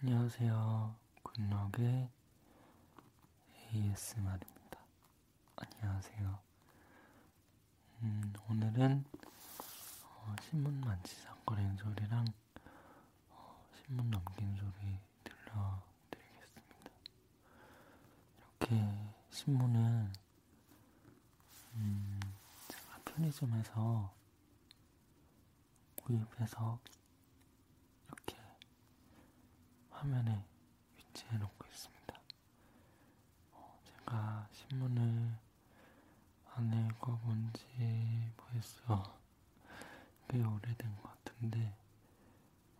안녕하세요. 굿럭의 ASMR입니다. 안녕하세요. 음, 오늘은 어, 신문 만지작거리는 소리랑 어, 신문 넘기는 소리 들려드리겠습니다. 이렇게 신문은 음, 제가 편의점에서 구입해서 이렇게 화면에 위치해 놓고 있습니다. 어, 제가 신문을 안 읽어본 지 벌써 꽤 오래된 것 같은데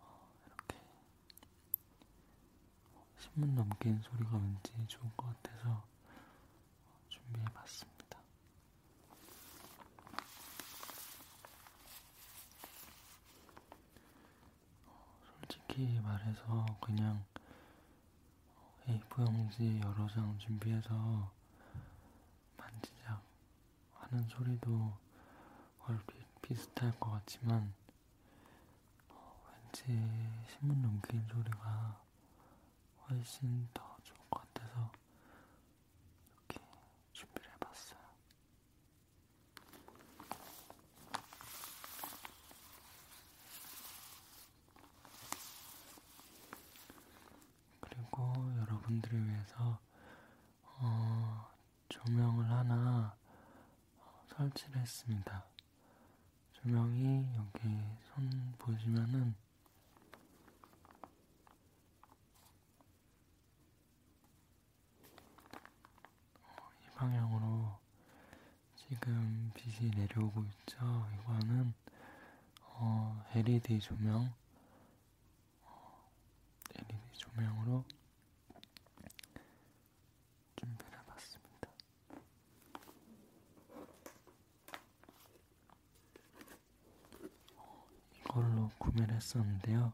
어, 이렇게 신문 넘기는 소리가 왠지 좋을 것 같아서 준비해봤습니다. 어, 솔직히 말해서 그냥 A4용지 여러 장 준비해서 만지작 하는 소리도 얼핏 비슷할 것 같지만 어, 왠지 신문 넘기는 소리가 훨씬 더 좋을 것 같아서 이렇게 준비를 해봤어요. 그리고 여러분들을 위해서 어, 조명을 하나 어, 설치를 했습니다. 조명이 여기 손 보시면은 이 방향으로 지금 빛이 내려오고 있죠. 이거는 어, LED 조명, 어, LED 조명으로 준비를 해봤습니다. 어, 이걸로 구매를 했었는데요.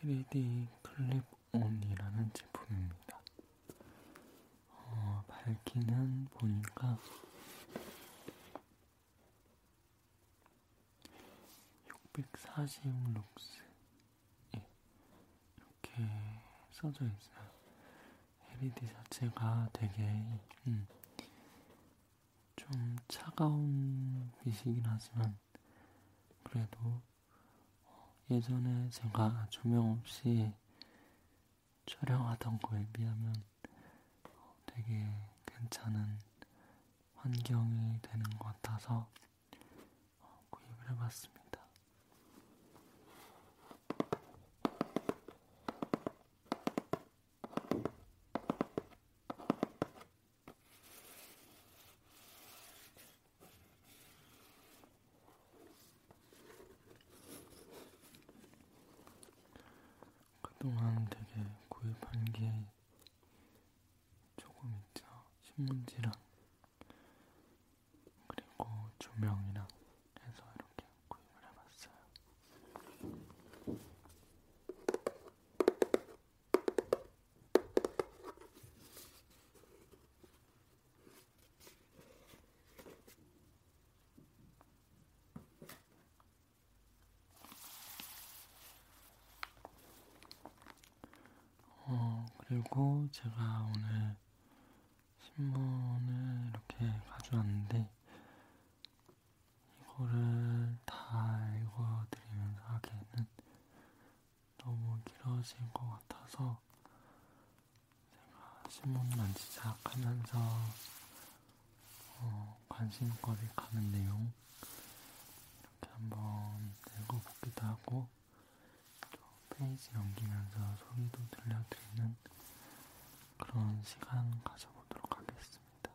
3D e 클립온이라는 제품입니다. 어, 밝기는 보니까 640 룩스 예, 이렇게 써져 있어요. LED 자체가 되게 음, 좀 차가운 빛이긴 하지만 그래도 예전에 제가 조명 없이 촬영하던 거에 비하면 되게 괜찮은 환경이 되는 것 같아서 구입을 해봤습니다. 그동안 되게 구입한 게 조금 있죠. 신문지랑 그리고 조명이랑 해서 이렇게 구입을 해봤어요. 어, 그리고 제가 오늘 신문을 이렇게 가져왔는데 이거를 다 읽어드리면서 하기에는 너무 길어진 것 같아서 제가 신문만 시작하면서 어, 관심거리 가는 내용 이렇게 한번 읽어보기도 하고 또 페이지 넘기면서 소리도 들려드리는 그런 시간 가져보도록 하겠습니다.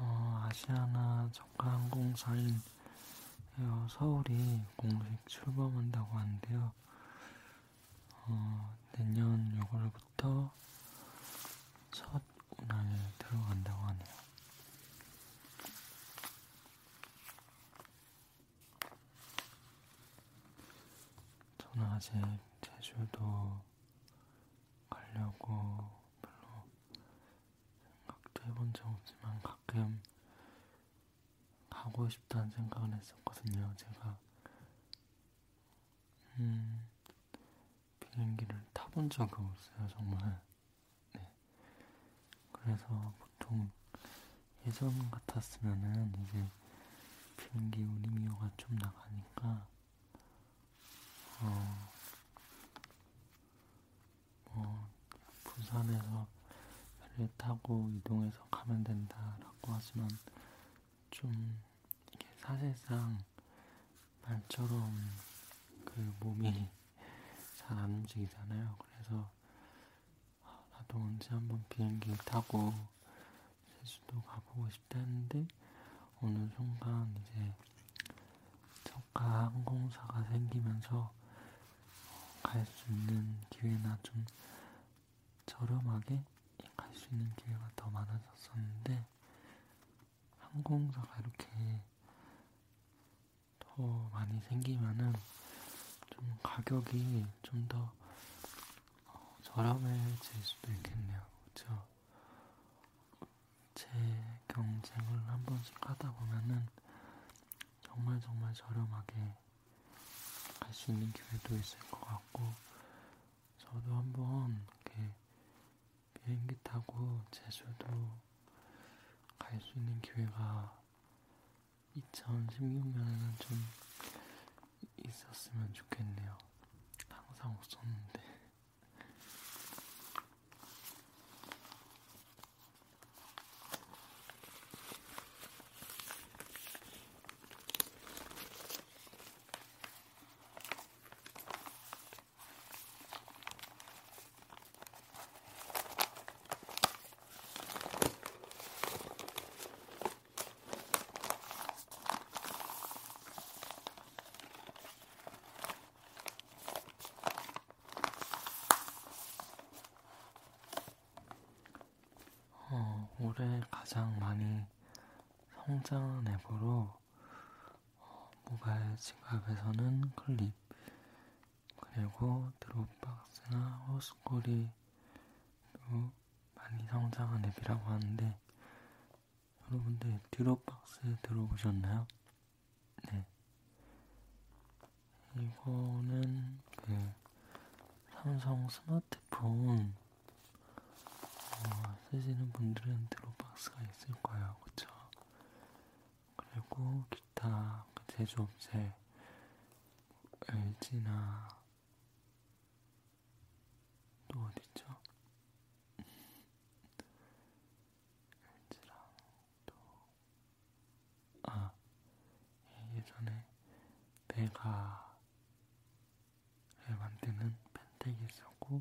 어, 아시아나 저가항공사인 에어 서울이 공식 출범한다고 하는데요. 어, 내년 6월부터 첫 운항에 들어간다고 하네요. 저는 아직 제주도 가려고 별로 생각도 해본 적 없지만 가끔 가고 싶다는 생각을 했었거든요. 제가 음, 비행기를 타본 적은 없어요, 정말. 네. 그래서 보통 예전 같았으면은 이제 비행기 운임료가 좀 나가니까 어, 뭐 부산에서 배를 타고 이동해서 가면 된다라고 하지만 좀 이게 사실상 말처럼 그 몸이 잘 안 움직이잖아요. 그래서 아, 나도 언제 한번 비행기 타고 제주도 가보고 싶다는데 어느 순간 이제 저가 항공사가 생기면서 갈 수 있는 기회나 좀 저렴하게 갈 수 있는 기회가 더 많아졌었는데 항공사가 이렇게 더 많이 생기면은 좀 가격이 좀더 어, 저렴해질 수도 있겠네요. 그쵸? 제 경쟁을 한 번씩 하다 보면은 정말 정말 저렴하게 갈 수 있는 기회도 있을 것 같고 저도 한 번 이렇게 비행기 타고 제주도 갈 수 있는 기회가 2016년에는 좀 있었으면 좋겠네요. 항상 없었는데. 어, 올해 가장 많이 성장한 앱으로 어, 모바일 지갑에서는 클립, 그리고 드롭박스나 호스콜이도 많이 성장한 앱이라고 하는데 여러분들 드롭박스 들어보셨나요? 네. 이거는 그 삼성 스마트폰 어, 쓰시는 분들은 드롭박스가 있을 거예요, 그쵸? 그리고 기타 그 제조업체 LG나 또 어디죠? LG랑 또 아, 예전에 베가를 만드는 펜텍이 있었고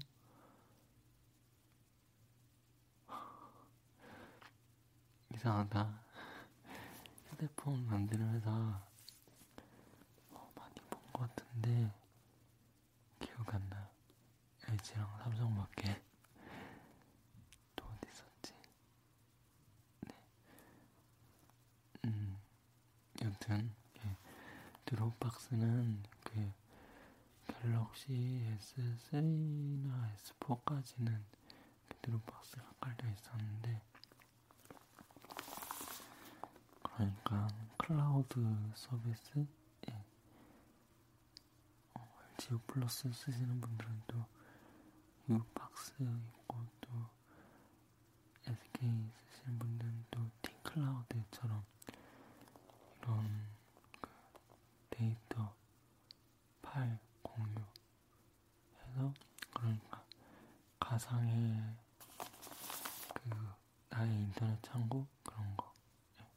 이상하다. 휴대폰 만드는 회사 어, 많이 본 것 같은데 기억 안 나요. LG랑 삼성밖에 또 어디 있었지? 네. 음, 여튼 예. 드롭박스는 그 갤럭시 S3나 S4까지는 드롭박스가 깔려 있었는데 그러니까 클라우드 서비스 예. 어, LG U 플러스 쓰시는 분들은 또 U 박스 있고 또 SK 쓰시는 분들은 또 T 클라우드처럼 이런 그 데이터 8 공유 해서 그러니까 가상의 그 나의 인터넷 창고 그런 거 예.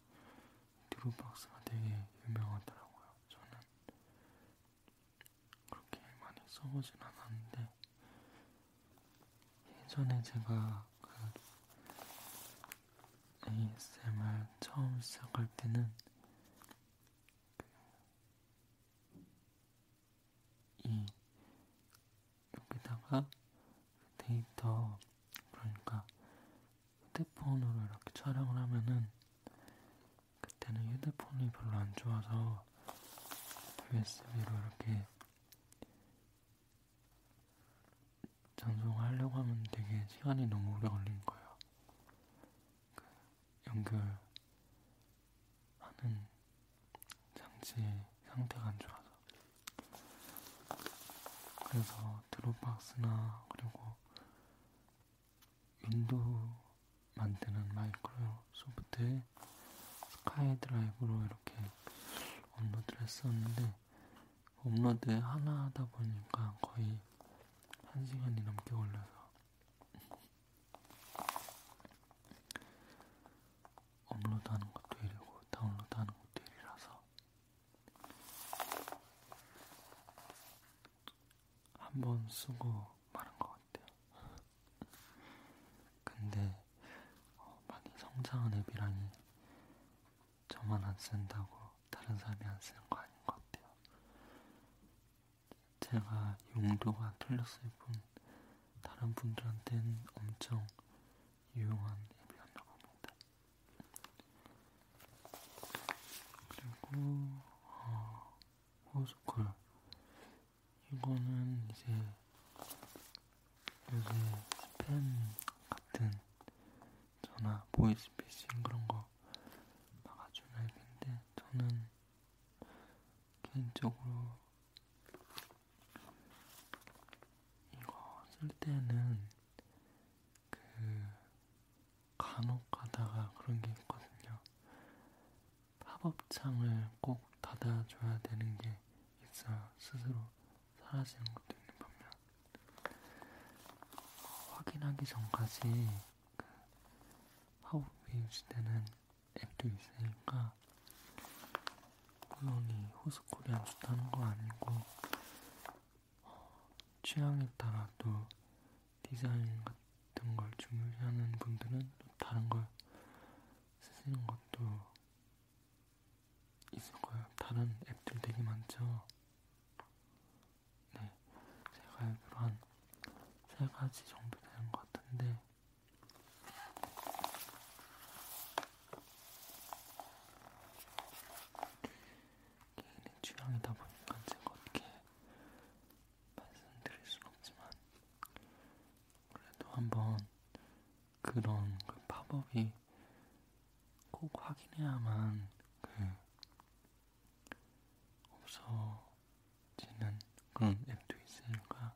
드롭박스가 되게 유명하더라고요. 저는 그렇게 많이 써보진 않았는데 예전에 제가 그 ASMR 처음 시작할 때는 이 여기다가 데이터 그러니까 휴대폰으로 이렇게 촬영을 하면은 그때는 휴대폰이 별로 안 좋아서 USB로 이렇게 전송하려고 하면 되게 시간이 너무 오래 걸린 거예요. 연결하는 장치 상태가 안 좋아서 그래서 드롭박스나 그리고 윈도우 만드는 마이크로소프트의 스카이드라이브로 이렇게 업로드를 했었는데 업로드 하나 하다 보니까 거의 한 시간이 넘게 걸려서 업로드하는 것도 일이고 다운로드하는 것도 일이라서 한번 쓰고 마는 것 같아요. 근데 어, 많이 성장한 앱이라니 저만 안 쓴다고 다른 사람이 안 쓰는 거 아닌 것 같아요. 제가 용도가 틀렸을 뿐 다른 분들한테는 엄청 유용한 앱이었나 봅니다. 그리고 어, 호스콜 이거는 이제 요새 스팸 같은 전화 보이스피싱 그런 거 막아주는 앱인데 저는 개인적으로 이거 쓸 때는 그 간혹 가다가 그런 게 있거든요. 팝업창을 꼭 닫아줘야 되는 게 있어요. 스스로 사라지는 것도 있는 반면 확인하기 전까지 하우비우 시대는 앱도 있으니까 물론이 호스코리안 좋다는 거 아니고 어, 취향에 따라 또 디자인 같은 걸 중요시하는 분들은 또 다른 걸 쓰시는 것도 있을 거예요. 다른 앱들 되게 많죠. 네, 제가 알기로 한세 가지 정도 되는 것 같은데 개인의 취향이다 보니까 제가 어떻게 말씀드릴 순 없지만 그래도 한번 그런 그 팝업이 꼭 확인해야만 그 없어지는 그런 앱도 있으니까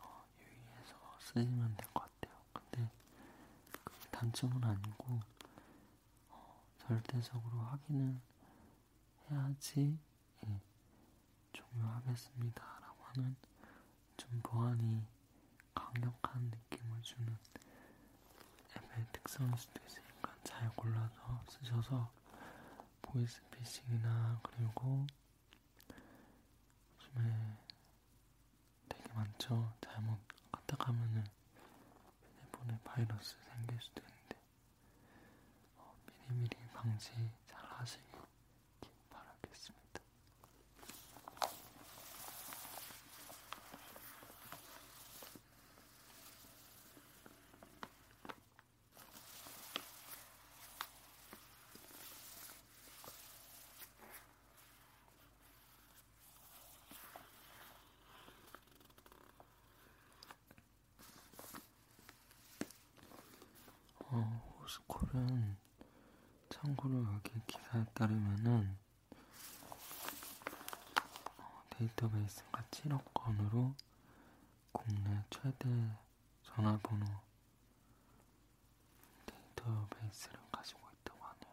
어, 유의해서 쓰시면 될 것 같아요. 근데 그 단점은 아니고 어, 절대적으로 확인을 해야지 예, 중요하겠습니다라고 하는 좀 보안이 강력한 느낌을 주는 앱의 특성일 수도 있으니까 잘 골라서 쓰셔서 보이스피싱이나 그리고 요즘에 되게 많죠. 잘못 갔다 가면은 휴대폰에 바이러스 생길 수도 있는데 어, 미리미리 방지 잘 하시길 바라겠습니다. 어, 호스콜은 참고로 여기 기사에 따르면은 어, 데이터베이스가 7억 수도권으로 국내 최대 전화번호 데이터베이스를 가지고 있다고 하네요.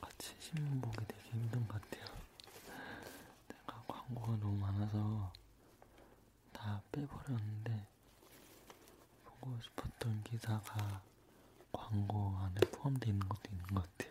같이 신문 보기 되게 힘든 것 같아요. 내가 광고가 너무 많아서 다 빼버렸는데 보고 싶었던 기사가 광고 안에 포함되어 있는 것도 있는 것 같아요.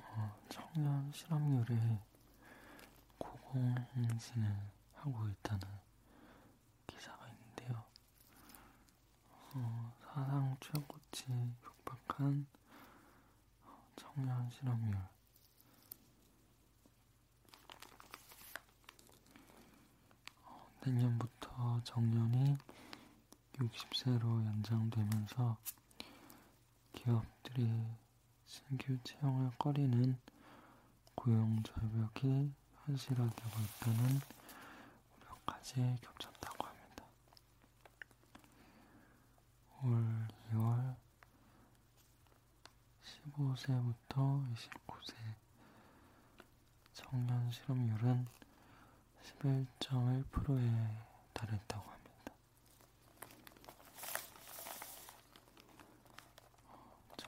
어, 청년 실업률이 고공행진을 하고 있다는 기사가 있는데요. 어, 사상 최고치 육박한 어, 청년 실업률. 어, 내년부터 정년이 60세로 연장되면서 기업들이 신규 채용할 거리는 고용 절벽이 현실화되고 있다는 우려까지 겹쳤다고 합니다. 올 2월 15세부터 29세 청년 실업률은 11.1%에 달했다고 합니다.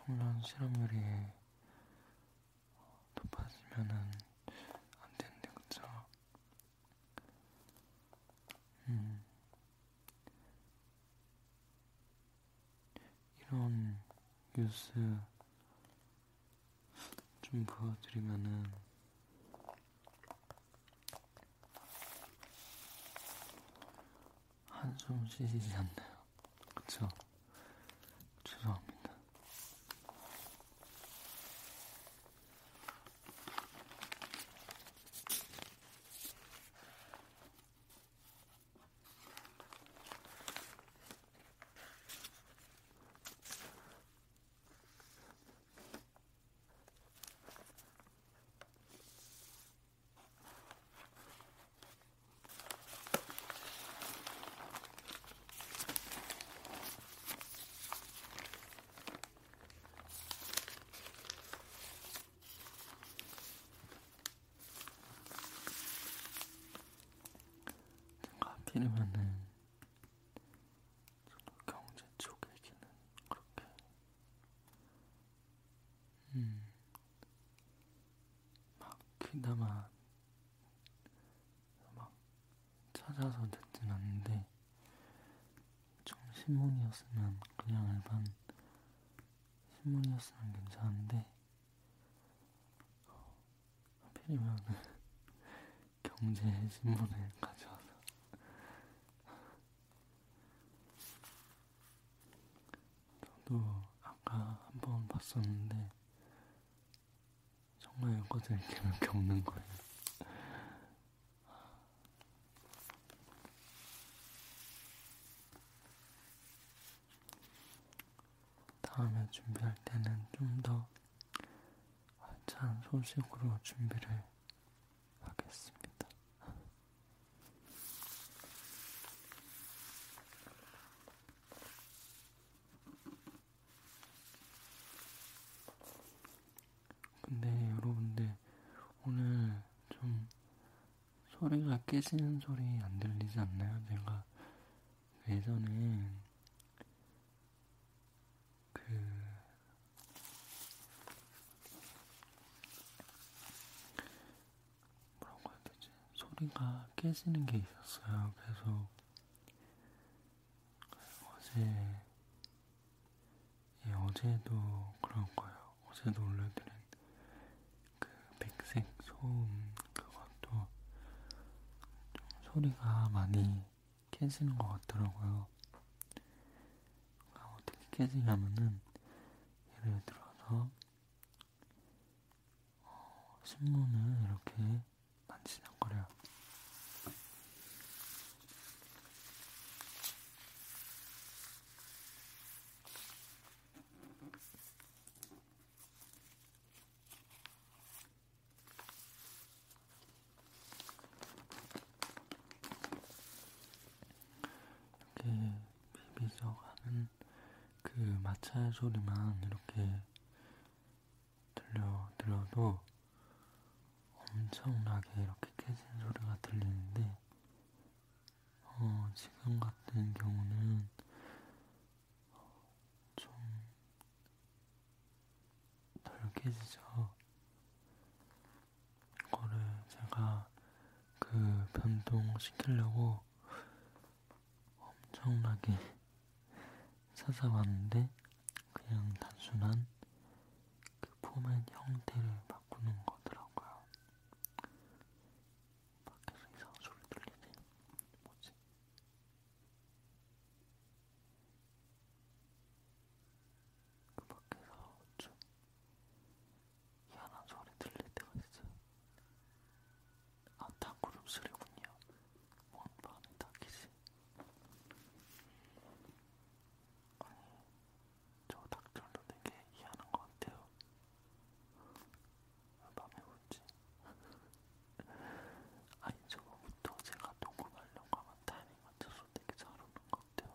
정면 실험률이 높아지면은 안 되는데 그쵸? 음 이런 뉴스 좀 보여드리면은 한숨 쉬지 않나요? 그쵸? 죄송합니다. 커피를 아, 만난 경제 쪽 얘기는 그렇게 음, 막 귀담아 막 찾아서 듣진 않는데 좀 신문이었으면 그냥 일반 신문이었으면 괜찮은데 어, 하필이면 경제신문을 가져와서 저도 아까 한번 봤었는데 정말 이것도 읽으면 겪는 거예요. 다음에 준비할 때는 좀더 찬 소식으로 준비를 하겠습니다. 근데 여러분들 오늘 좀 소리가 깨지는 소리 안 들리지 않나요? 제가 예전에 그 뭐라고 해야 되지? 소리가 깨지는 게 있었어요. 계속 어제 예, 어제도 그런 거예요. 어제도 올려드린 그 백색 소음 그것도 좀 소리가 많이 깨지는 것 같더라고요. 그러니까 어떻게 깨지냐면은 예를 들어서 어, 신문을 이렇게 만지작거려요. 이렇게 비비적 하는 그 마찰 소리만 이렇게 들려드려도 엄청나게 이렇게 깨진 소리가 들리는데 어, 지금 같은 경우는 좀 덜깨지죠. 이거를 제가 그 변동시키려고 엄청나게 찾아봤는데 그냥 단순한 그 포맷 형태를 바꾸는 거더라고요. 밖에서 이상한 소리 들리네. 뭐지? 그 밖에서 좀 희한한 소리 들릴 때가 있어요. 아, 닭구름 소리군요. 먼 밤에 닭이지. 아니, 저 닭들도 되게 희한한 것 같아요. 왜 밤에 울지? 아니, 저거부터 제가 동굴 가려고 하면 타이밍 맞춰서 되게 잘 오는 것 같아요.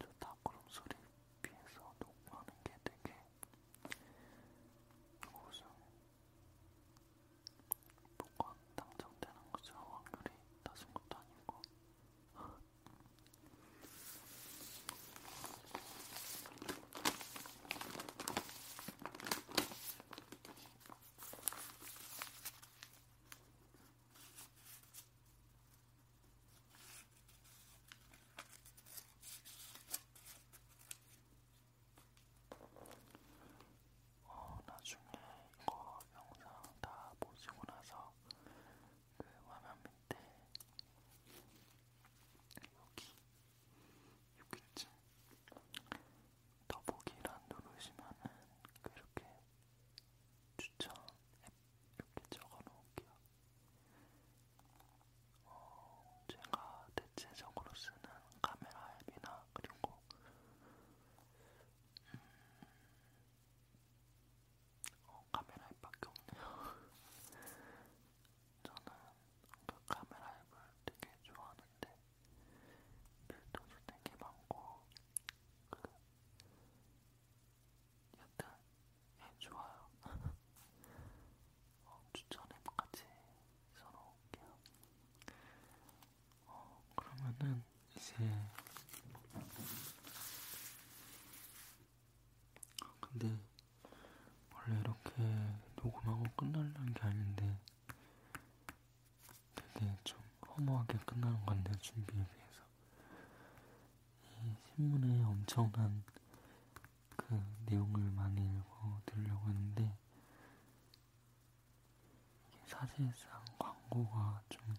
저 닭구름 소리 비해서 녹음하는 게 되게 무슨 복권 당첨되는 것처 확률이 낮은 것도 아니고 어, 나중에 이거 영상 다 보시고 나서 그 화면 밑에 여기 여기쯤 더보기란 누르시면은 그렇게 추천 앱 이렇게 적어놓을게요. 어, 제가 대체적으로 쓰는 카메라 앱이나 그리고 음, 어, 카메라 앱밖에 없네요. 저는 그 카메라 앱을 되게 좋아하는데 밀동도 되게 많고 그 여튼 예 좋아요. 어, 추천앱까지 써놓을게요. 어, 그러면은 이제 근데 원래 이렇게 녹음하고 끝나려는 게 아닌데 되게 네, 좀 허무하게 끝나는 건데 준비에 비해서 이 신문에 엄청난 그 내용을 많이 읽어 드리려고 했는데 이게 사실상 광고가 좀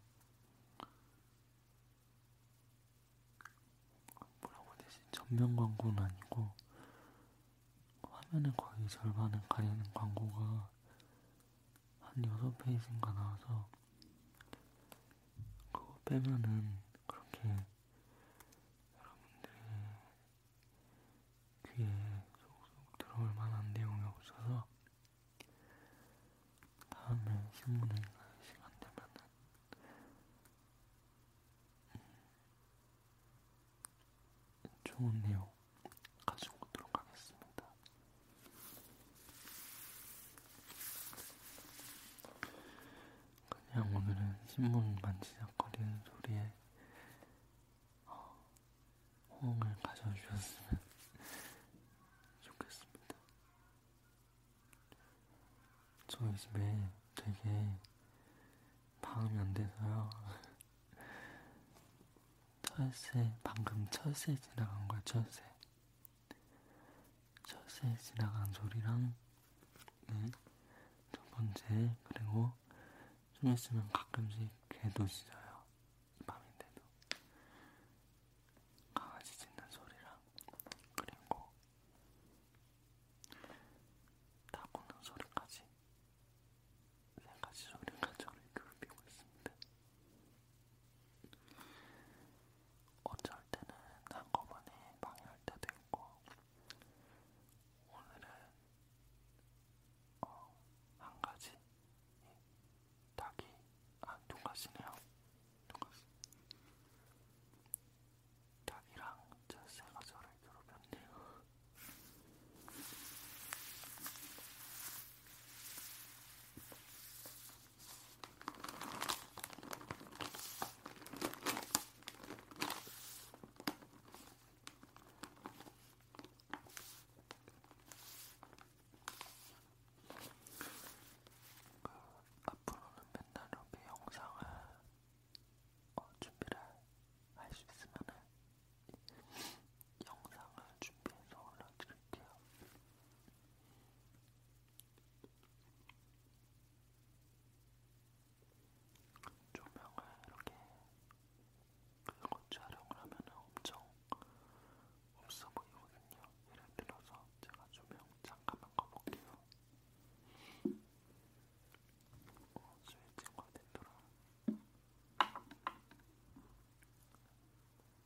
뭐라고 해야 되지 전면 광고는 아니고 화면의 거의 절반을 가리는 광고가 한 6페이지인가 나와서 그거 빼면은 그렇게 여러분들의 귀에 쏙쏙 들어올 만한 내용이 없어서 다음에 신문에 시간 되면은 음, 좋은 내용 가지고 오도록 하겠습니다. 그냥 오늘은 신문 만지작거리는 소리에 어, 호응을 가져주셨으면 좋겠습니다. 저희 집에 되게 방음이 안 돼서요. 철새, 방금 철새 지나간 거야, 철새. 철새 지나간 소리랑, 네. 첫 번째, 그리고 좀 있으면 가끔씩 개도 짖어요. 밤인데도. 강아지 짖는 소리랑, 그리고, 다구는 소리까지. 세 네 가지 소리가 저를 괴롭히고 있습니다. 어쩔 때는 한꺼번에 방해할 때도 있고, 오늘은 어, 한 가지, 닭이, 아, 두 가지네요. 두 가지. 닭이랑 제 새가 저를 많이 더럽혔네요. 그 앞으로는 맨날 이렇게 영상을 어, 준비를 할 수 있으면은 영상을 준비해서 올려드릴게요. 조명을 이렇게 끄고 촬영을 하면 엄청 없어 보이거든요. 예를 들어서 제가 조명 잠깐만 꺼볼게요. 어, 스웨덴과 덴도랑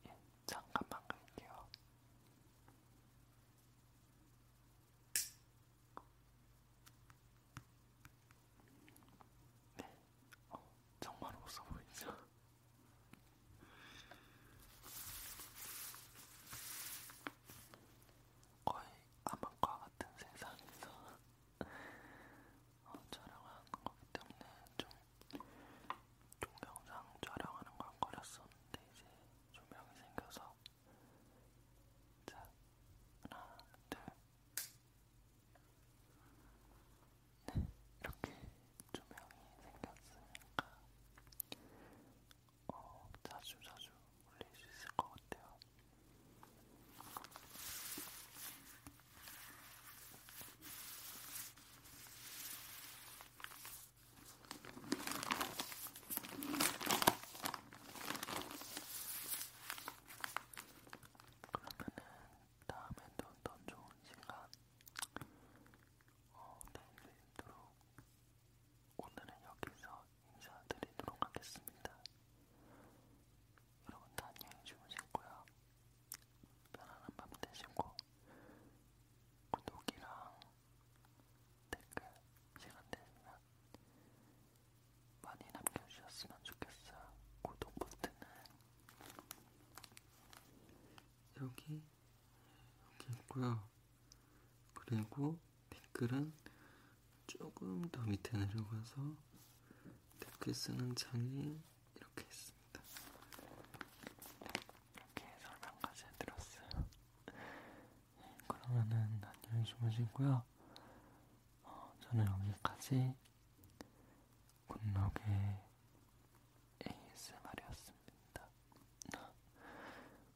예, 잠깐만 갈게요. 네, 어, 정말 없어 보이죠? 거의 암흑과 같은 세상에서 어, 촬영한 거기 때문에 좀 동영상 촬영하는 건 걸렸었는데 이제 조명이 생겨서 자 하나 둘네 이렇게 조명이 생겼으니까 어, 자주 자주 올릴 수 있을 것 같아요. 그러면은 다음에 또더 좋은 시간 어, 내일도록 오늘은 여기서 인사드리도록 하겠습니다. 여러분도 안녕히 주무시고요. 편안한 밤 되시고 구독이랑 댓글 시간 되시면 많이 남겨주셨으면 좋겠어요. 구독 버튼은 여기 여기 있고요. 그리고 댓글은 조금 더 밑에 내려가서 댓글 쓰는 창이 이렇게 있습니다. 이렇게 설명까지 해드렸어요. 네, 그러면은 안녕히 주무시고요. 어, 저는 여기까지 굿럭의 ASMR이었습니다.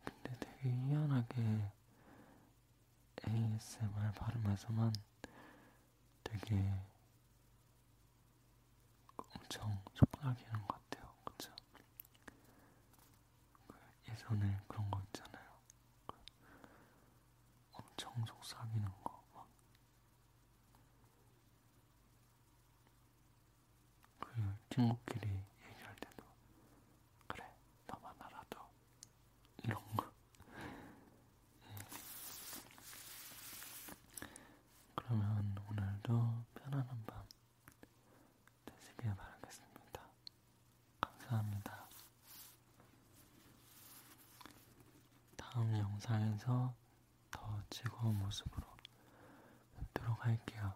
근데 되게 희한하게 ASMR 발음에서만 되게 엄청 속삭이는 것 같아요. 그쵸? 그 예전에 그런 거 있잖아요. 그 엄청 속삭이는 거. 막. 그 친구끼리 얘기할 때도 그래, 너만 알아도 이런 거. 음. 그러면 오늘도 편안한 밤 되시길 바라겠습니다. 감사합니다. 다음 영상에서 더 즐거운 모습으로 뵙도록 할게요.